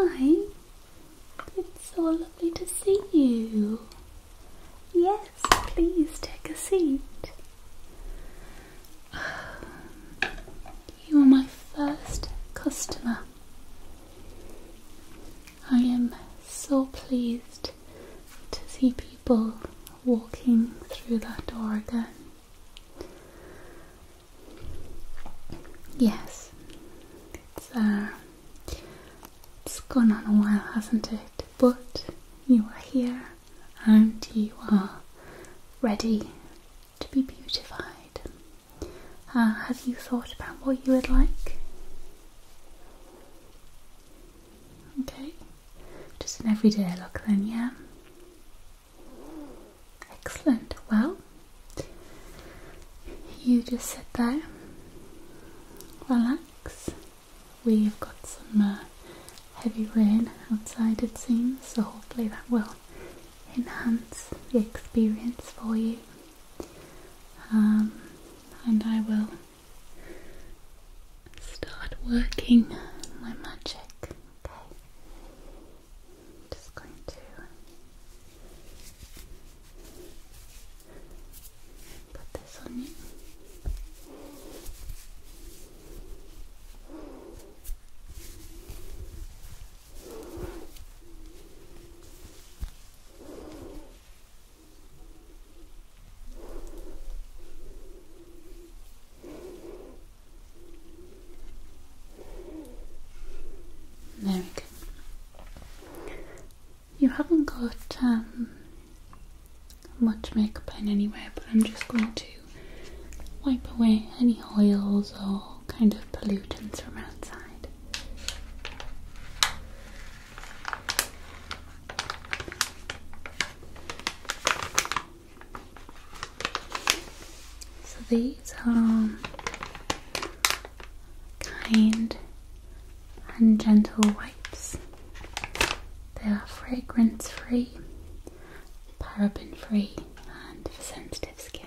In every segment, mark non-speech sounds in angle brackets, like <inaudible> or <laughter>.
Hi, it's so lovely to see you. Yes, please take a seat. <sighs> You are my first customer I am so pleased to see people walking through that door again. Yes, uh, it's gone on a while, hasn't it? But you are here, and you are ready to be beautified. Uh, have you thought about what you would like? Okay, just an everyday look then, yeah? Excellent, well, you just sit there, relax. We've got some uh, heavy rain outside, it seems, so hopefully that will enhance the experience for you. Um, and I will start working my magic. Okay, just going to put this on you. There we go. You haven't got um, much makeup on anywhere, but I'm just going to wipe away any oils or kind of pollutants from outside. So these are kind and gentle wipes. They are fragrance free, paraben free, and for sensitive skin.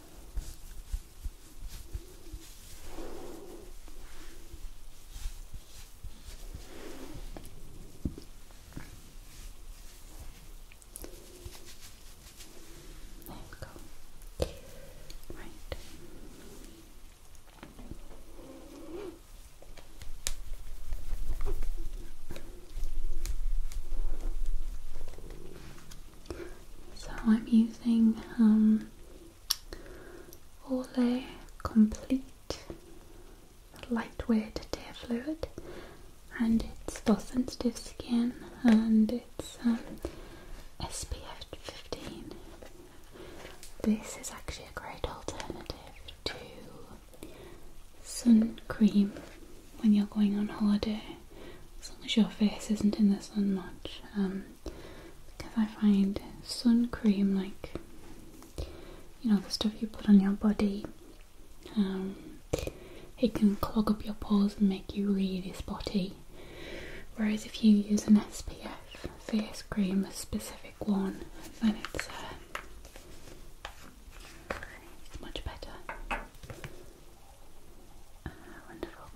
There we go. Right. So I'm using um all day Complete Lightweight Tear Fluid, and it's for sensitive skin, and it's um, SPF 15. This is actually a great alternative to sun cream when you're going on holiday, as long as your face isn't in the sun much. Um, because I find sun cream, like you know, the stuff you put on your body, um, it can clog up your pores and make you really spotty. Whereas if you use an SPF face cream, a specific one, then it's, uh, much better. Ah, wonderful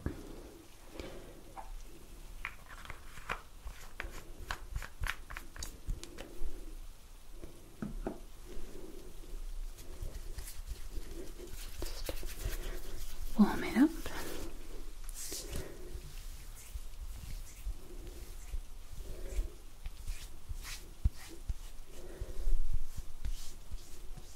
warm it up.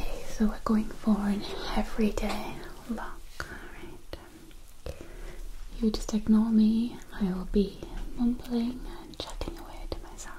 Okay, so we're going for an everyday look, alright? You just ignore me, I will be mumbling and chatting away to myself.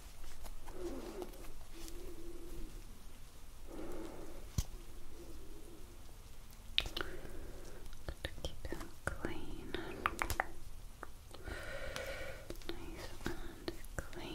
to keep them clean, nice and clean.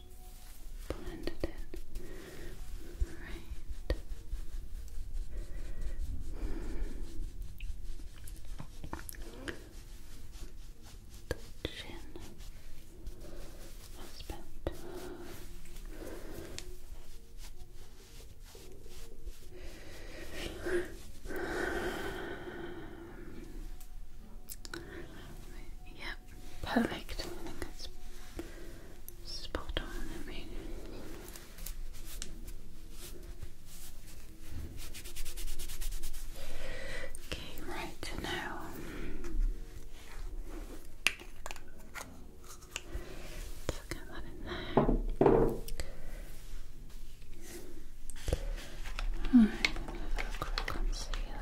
just it Right. chin. That's about perfect. I think that's spot on. I mean, okay, right now. Let's that in there. Alright, let me have a quick concealer.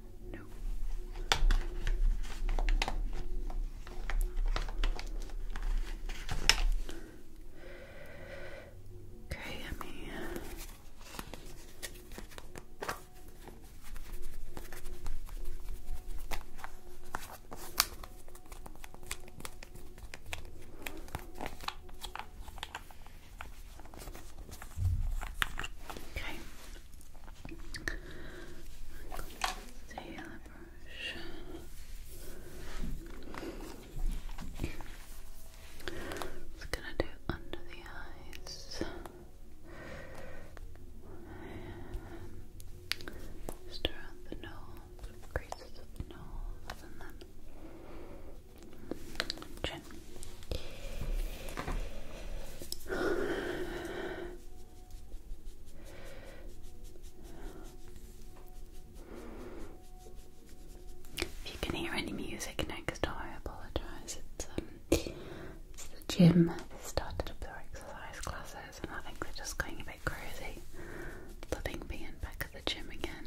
No. Okay, I Okay. Sailor brush. It's gonna do under the eyes. around the nose, creases of the nose, and then if you can hear any music next door, I apologise. Um, it's, the gym. They started up their exercise classes, and I think they're just going a bit crazy. Loving being back at the gym again.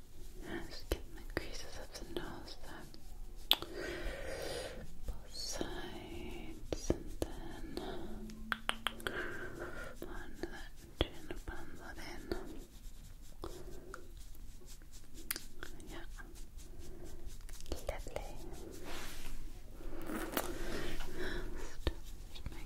skin the creases of the nose Both sides and then on that chin, bump that Yeah. Lovely.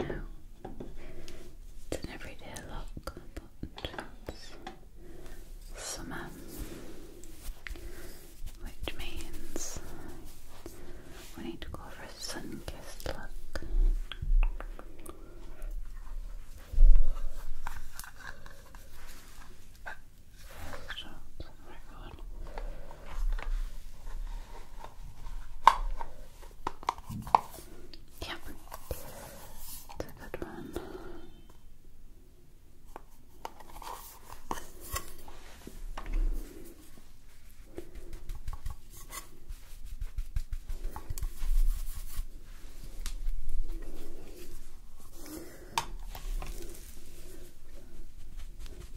Now, it's an everyday look, summer, which means we need to go for a sun kissed look one. Yeah, it's a good one.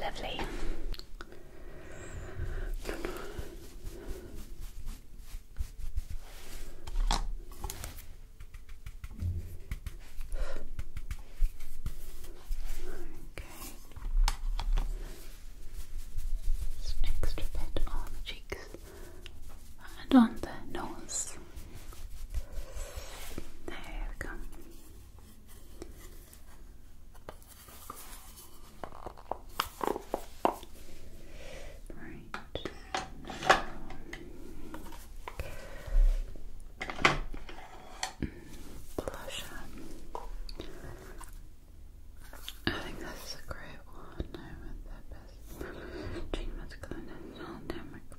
Lovely. Okay. extra bit on the cheeks and on the nose this. There we go. Right. Blush I think this is a great one. I went that best. Dream was clean and all damn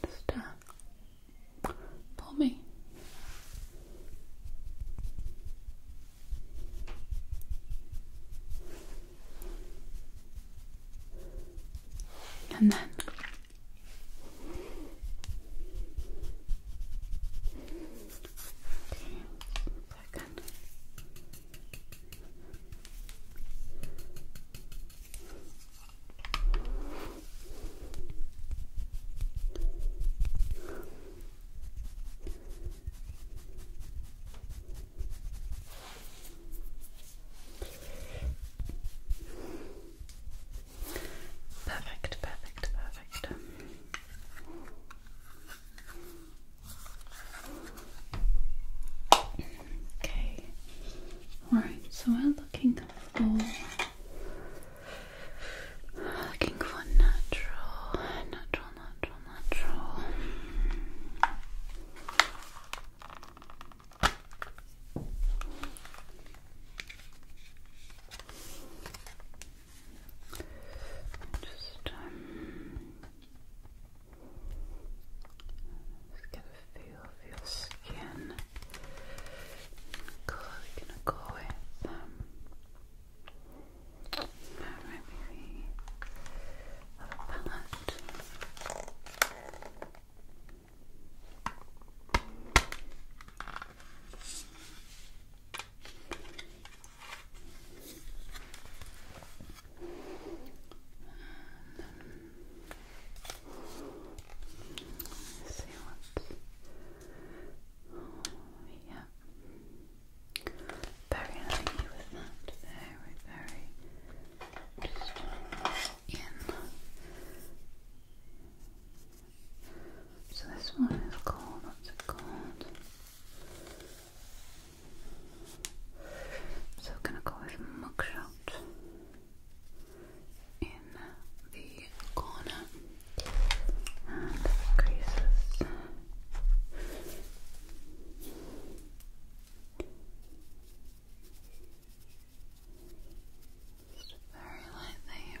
Just pull me. And then okay, second. Perfect, perfect, perfect. Okay. Alright, so we're looking for looking for natural, natural, natural, natural. Just um just get a feel of your skin. we're gonna go with. Um, maybe the other palette see what's yeah. Very happy with that. Very, very just in. So this one is called what's it called? So, gonna go with mugshot in the corner and creases. very lightly.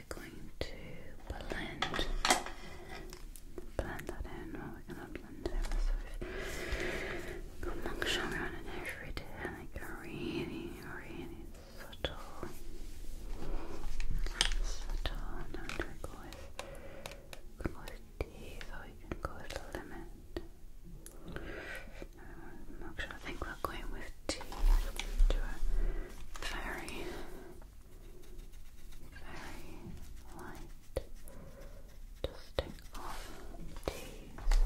we're going to blend, blend that in, we're going to blend it with sort of monk on an go with, with teeth, or we can go with the I think we're going with tea to a very, very light dusting off teas.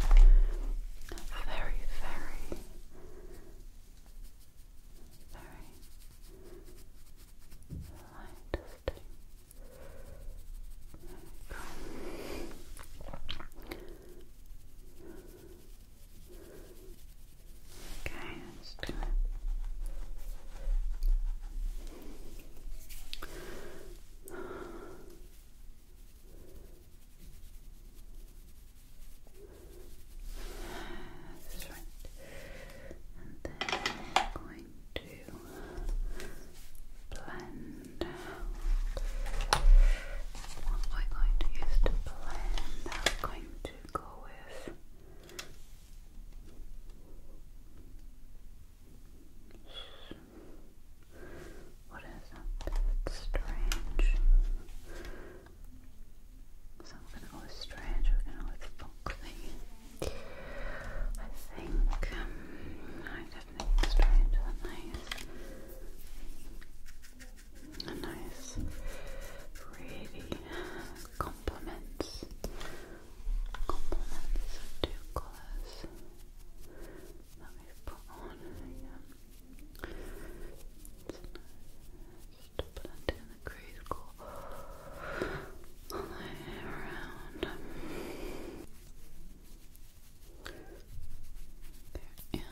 very, very, very light dusting. Okay, let's do it. That's right. And then I'm going to blend out. What we going to use to blend, I'm going to go with what is that? strange. So I'm gonna go with strange, we're gonna go with foxy. I think um, I definitely think strange are nice a nice, really complements complements two colours that we've put on. Yeah. It's nice to blend all the way around. they in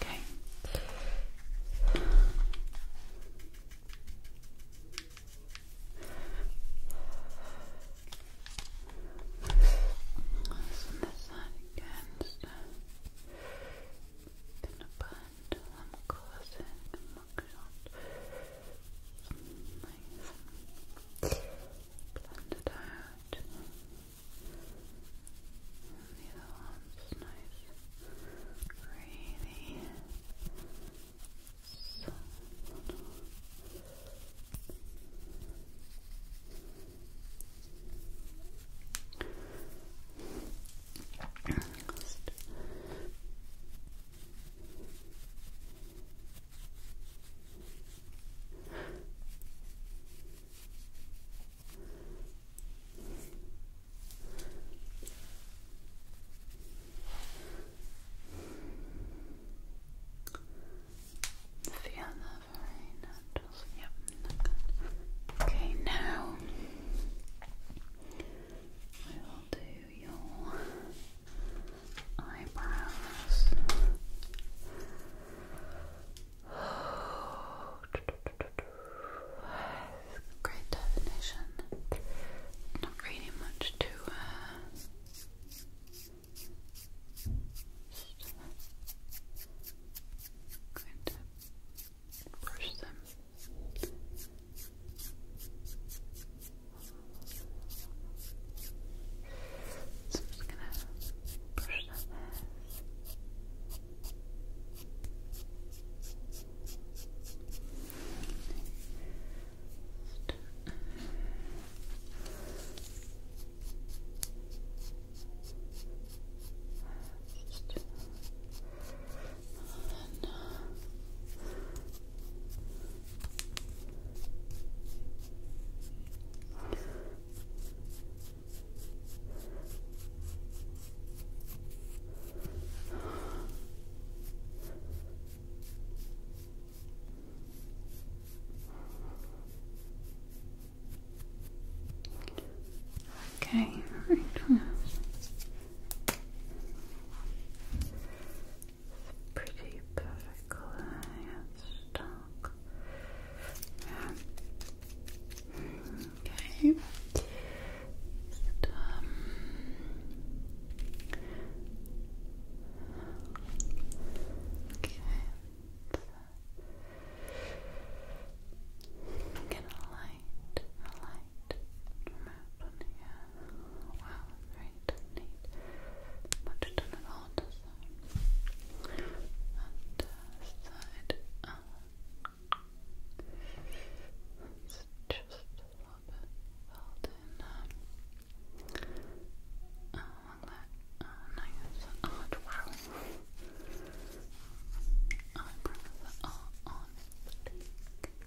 Okay. This and this side again, so I'm going mugshot. Nice. Blend it out. the other one's nice. Really soft. Just Feel that very Yep. Okay, now I will do your eyebrows. Great definition. Not really much to uh, Going brush them. So I'm just gonna brush that there. Just, just and, uh, Okay, right. It's pretty perfect it's dark. Yeah. Okay. But, um, okay. Get light, a light remote on here. Wow, great, neat. Much done at all And side. just a little bit filled in. along that. Oh, nice. Oh, wow. Eyebrows are on, I'm uh,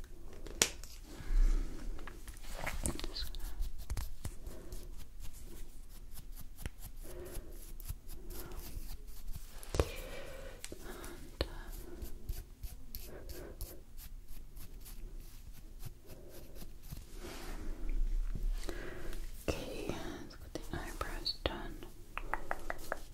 Okay, let's get the eyebrows done.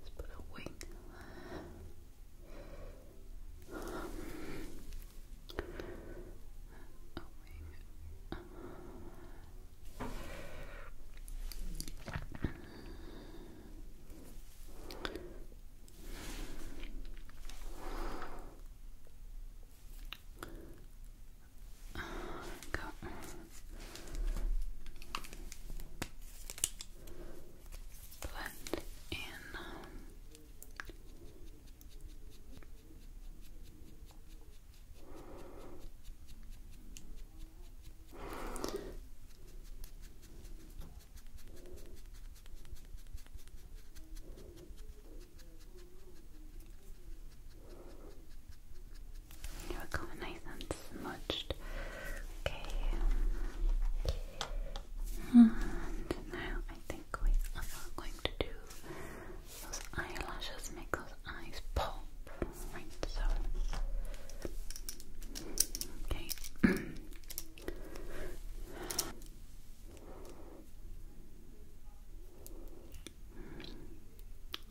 Let's put a wing there. wing. Go blend in. Here we nice and smudged. Okay. And now I think we are going to do those eyelashes, make those eyes pop. Right, so. Okay.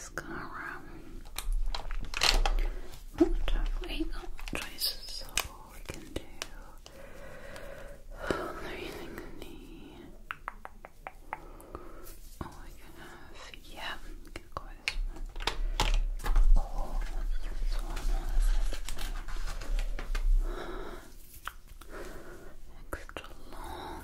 mascara. What have we got? Traces of we can do. Oh, everything I need. All I can have. Yeah, go what's this one? Extra long,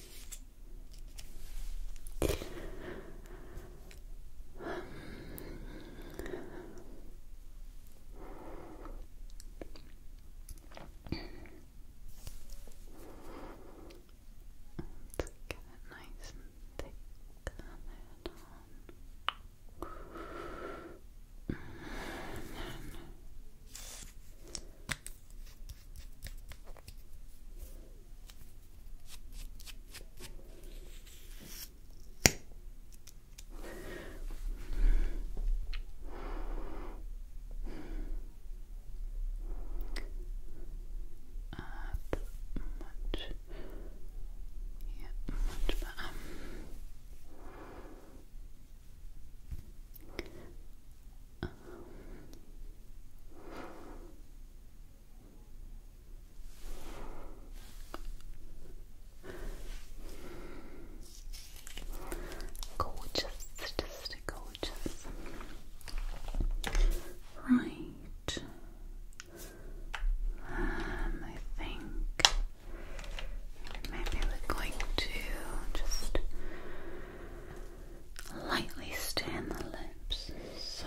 Let's get it nice and thick And then uh, much, yeah, much better. Um, gorgeous, just gorgeous. Right. Um, I think maybe we're going to just lightly stain the lips. So.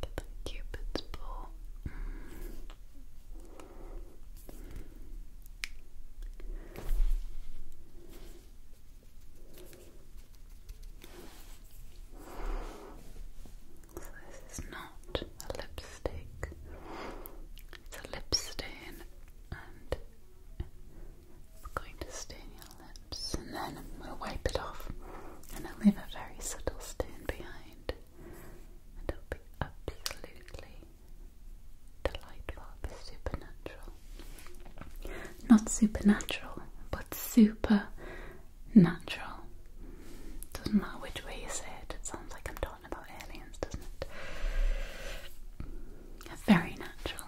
the cupid's bow. So this is not a lipstick. It's a lip stain it's going to stain your lips, and then we'll wipe it off, and leave a very subtle stain behind, it'll be absolutely delightful, supernatural. Not supernatural, but super natural. Doesn't matter which way you say it, it sounds like I'm talking about aliens, doesn't it? Very natural.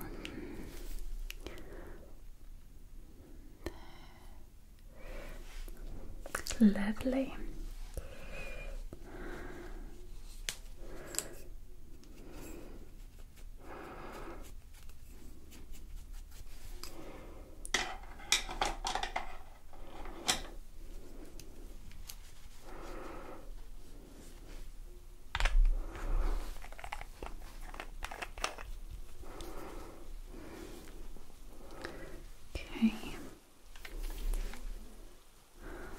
Lovely. Okay. I'm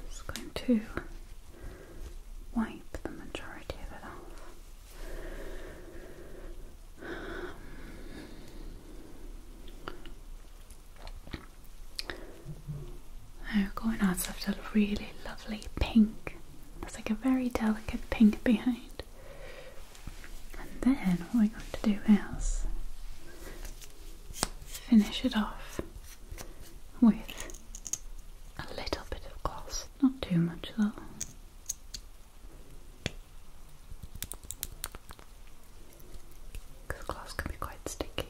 just going to wipe the majority of it off. Um, now, going out, I've really lovely pink it's like a very delicate pink behind. And then what we're going to do is finish it off with a little bit of gloss. Not too much though. Because gloss can be quite sticky.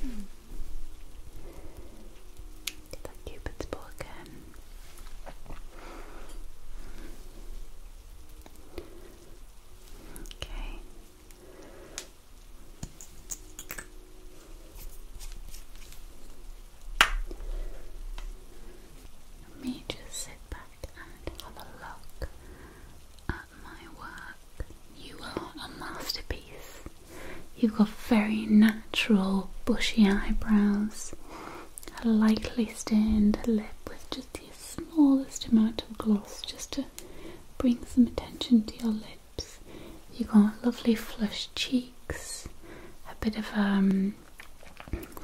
Hmm. Did that Cupid's bow again? Okay. Let me just sit back and have a look at my work. You are a masterpiece. You've got very natural, bushy eyebrows, a lightly stained lip with just the smallest amount of gloss just to bring some attention to your lips. You've got lovely flushed cheeks, a bit of um,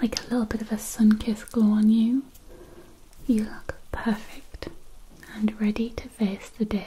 like a little bit of a sun kiss glow on you. You look perfect and ready to face the day.